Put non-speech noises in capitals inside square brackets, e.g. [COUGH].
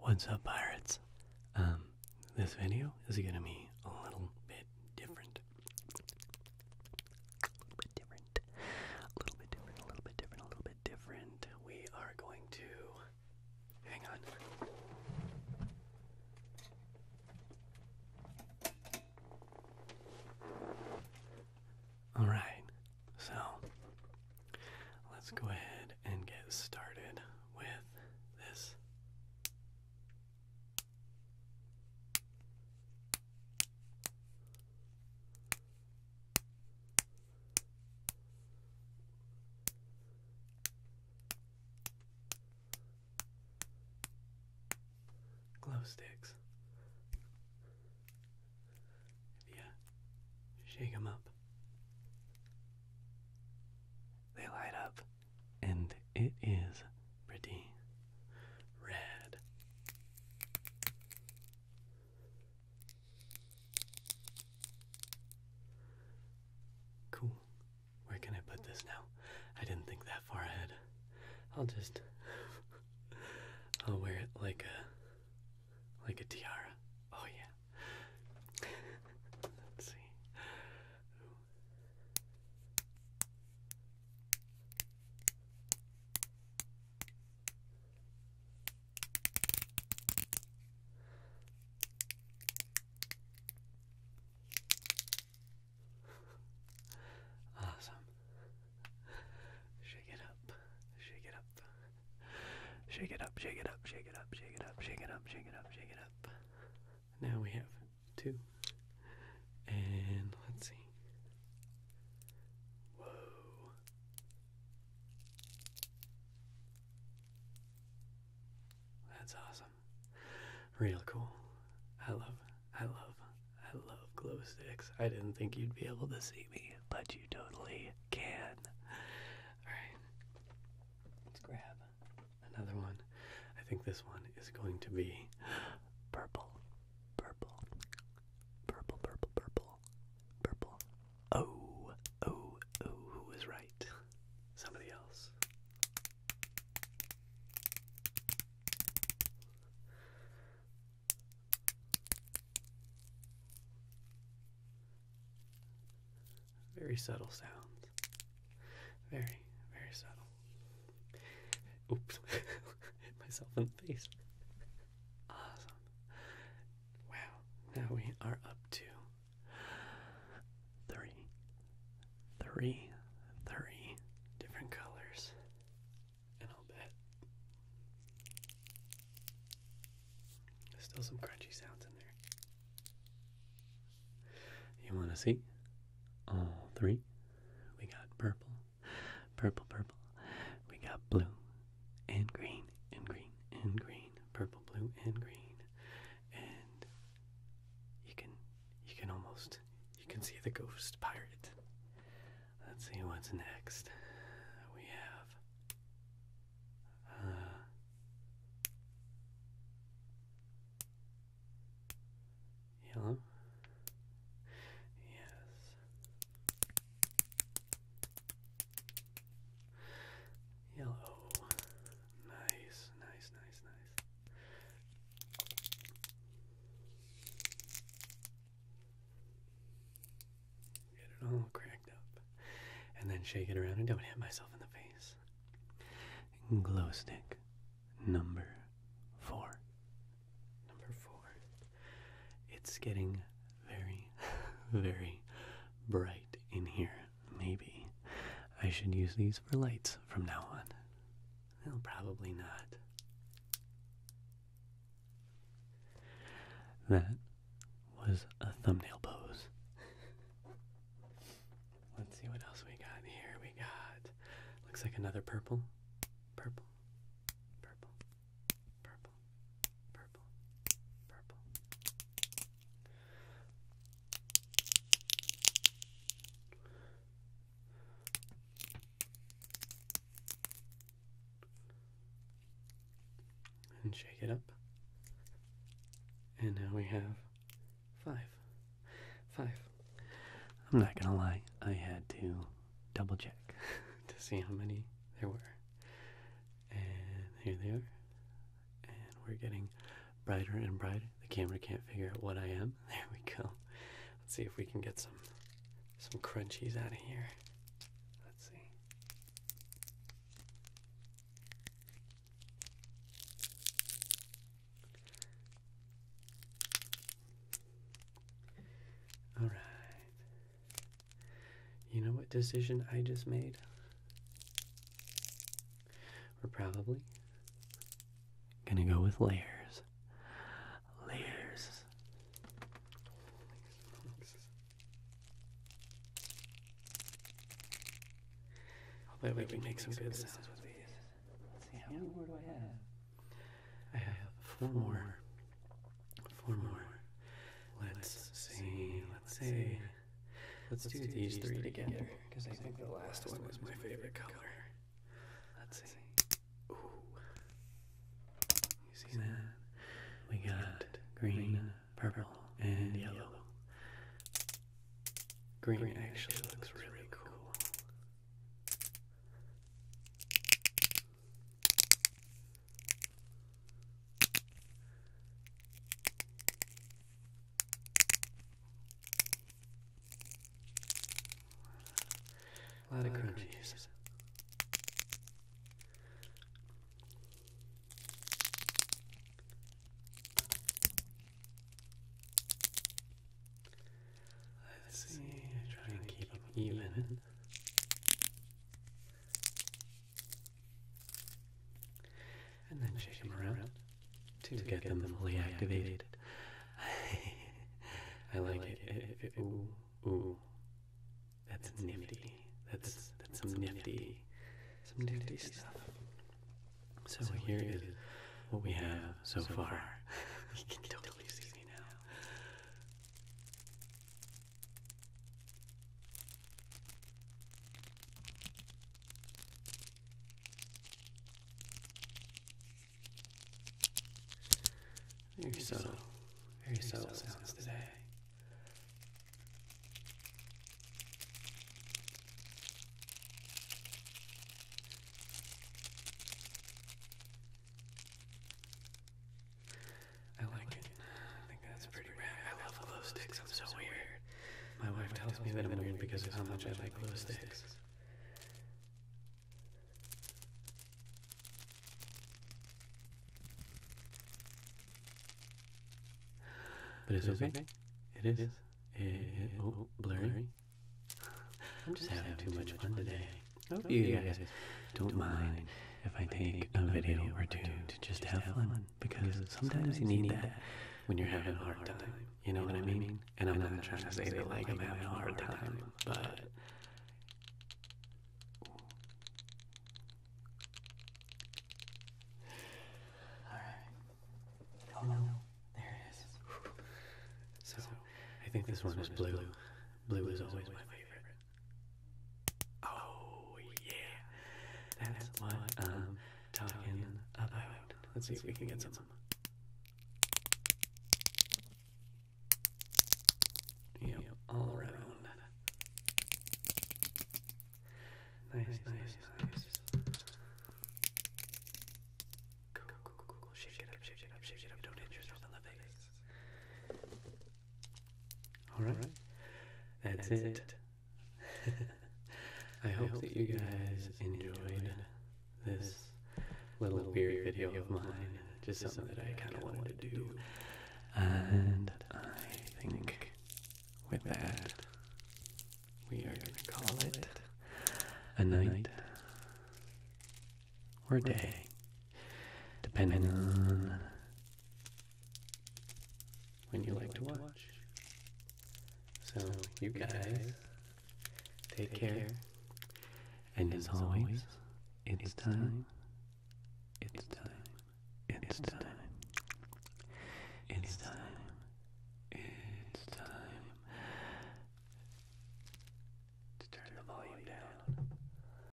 What's up, pirates? Um, this video is gonna be a little bit different. A little bit different. A little bit different. A little bit different. A little bit different. We are going to hang on. All right. So, Let's go ahead and get started with this. Glow sticks if shake them up. They light up, and it is pretty red. Cool. Where can I put this now? I didn't think that far ahead. I'll just. [LAUGHS] I'll wear it like a like a tiara. Oh, yeah. [LAUGHS] Let's see. Awesome. Shake it up, shake it up. Shake it up, shake it up, shake it up, shake it up, shake it up, shake it up, shake it up. Now we have two. And let's see. Whoa. That's awesome. Real cool. I love I love, I love glow sticks. I didn't think you'd be able to see me, but you totally can. All right, let's grab another one. I think this one is going to be purple, purple, purple, purple, purple, purple. Oh, oh, oh, who right? Somebody else. Very subtle sounds. Very, very subtle. Oops. [LAUGHS] Hit myself in the face. Awesome. Wow. Now we are up to three, three, three different colors and I'll bet. There's still some crunchy sounds in there. You want to see? All three. We got purple, purple, purple. We got blue and green and green and green. Purple, blue, and green. And you can you can almost you can see the ghost pirate. Let's see what's next. We have. Uh, yellow? Yes. Yellow. Nice, nice, nice, nice. Get it all cracked up. And then shake it around and don't hit myself in the face. Glow stick number four. Number four. It's getting very, [LAUGHS] very bright in here. Maybe I should use these for lights from now on. Well, probably not. That was a thumbnail pose. Let's see what else we got here. We got looks like another purple. Purple. Purple. Purple. Purple. Purple and shake it up. And now we have five. Five. I'm not gonna lie, I had to double check [LAUGHS] to see how many there were. And here they are. And we're getting brighter and brighter. The camera can't figure out what I am. [LAUGHS] There we go. Let's see if we can get some some crunchies out of here. Let's see. All right. You know what decision I just made? We're probably gonna go with layers. Layers. Although we, make some good sounds see, how many more do I have? I have four more. Four more. Let's see. Let's see. Let's, do, these three, together because I, think the last one was my favorite color. color. Let's see. Ooh. You see that? We got green, purple, and yellow. Green actually looks really cool. A lot of uh, crunchies. Let's see, I try and keep up even and then shake them around to get them fully activated. [LAUGHS] I like it. ooh, ooh, that's nifty. That's that's some nifty, some nifty stuff. So here is what we have so far. [LAUGHS] [LAUGHS] You can totally see me now. Very subtle, very subtle sounds today. I like it. I think that's pretty rad. I love glow sticks. I'm so weird. My wife tells me that I'm weird because of how much I like glow sticks. But it's okay. It is. It is. It, oh, blurry. I'm just having too much fun today. I hope oh, oh, you guys don't mind if I take a video or two to just have fun because sometimes you need that when you're having a hard time. You know what I mean? And I'm not trying to say that like I'm having a hard time, but Alright. Oh no, there it is. So I think this one is blue. Blue is always my favorite. Oh yeah, that's what I'm talking about. Let's see if we can get some. Yep, all around. Nice, nice, nice. Cool, cool, cool, cool. Shake it up, shake it up, shake it up. Don't hit yourself in all right, That's, it. [LAUGHS] I, hope, that you guys, enjoyed, this little, weird video of mine. Just something that I kind of wanted to do. And I think with that, we are going to call it a night or a day, depending on when you like to watch. So, you guys, take care. And as always, it's time. It's time. It's time. It's time. It's time to turn the volume down.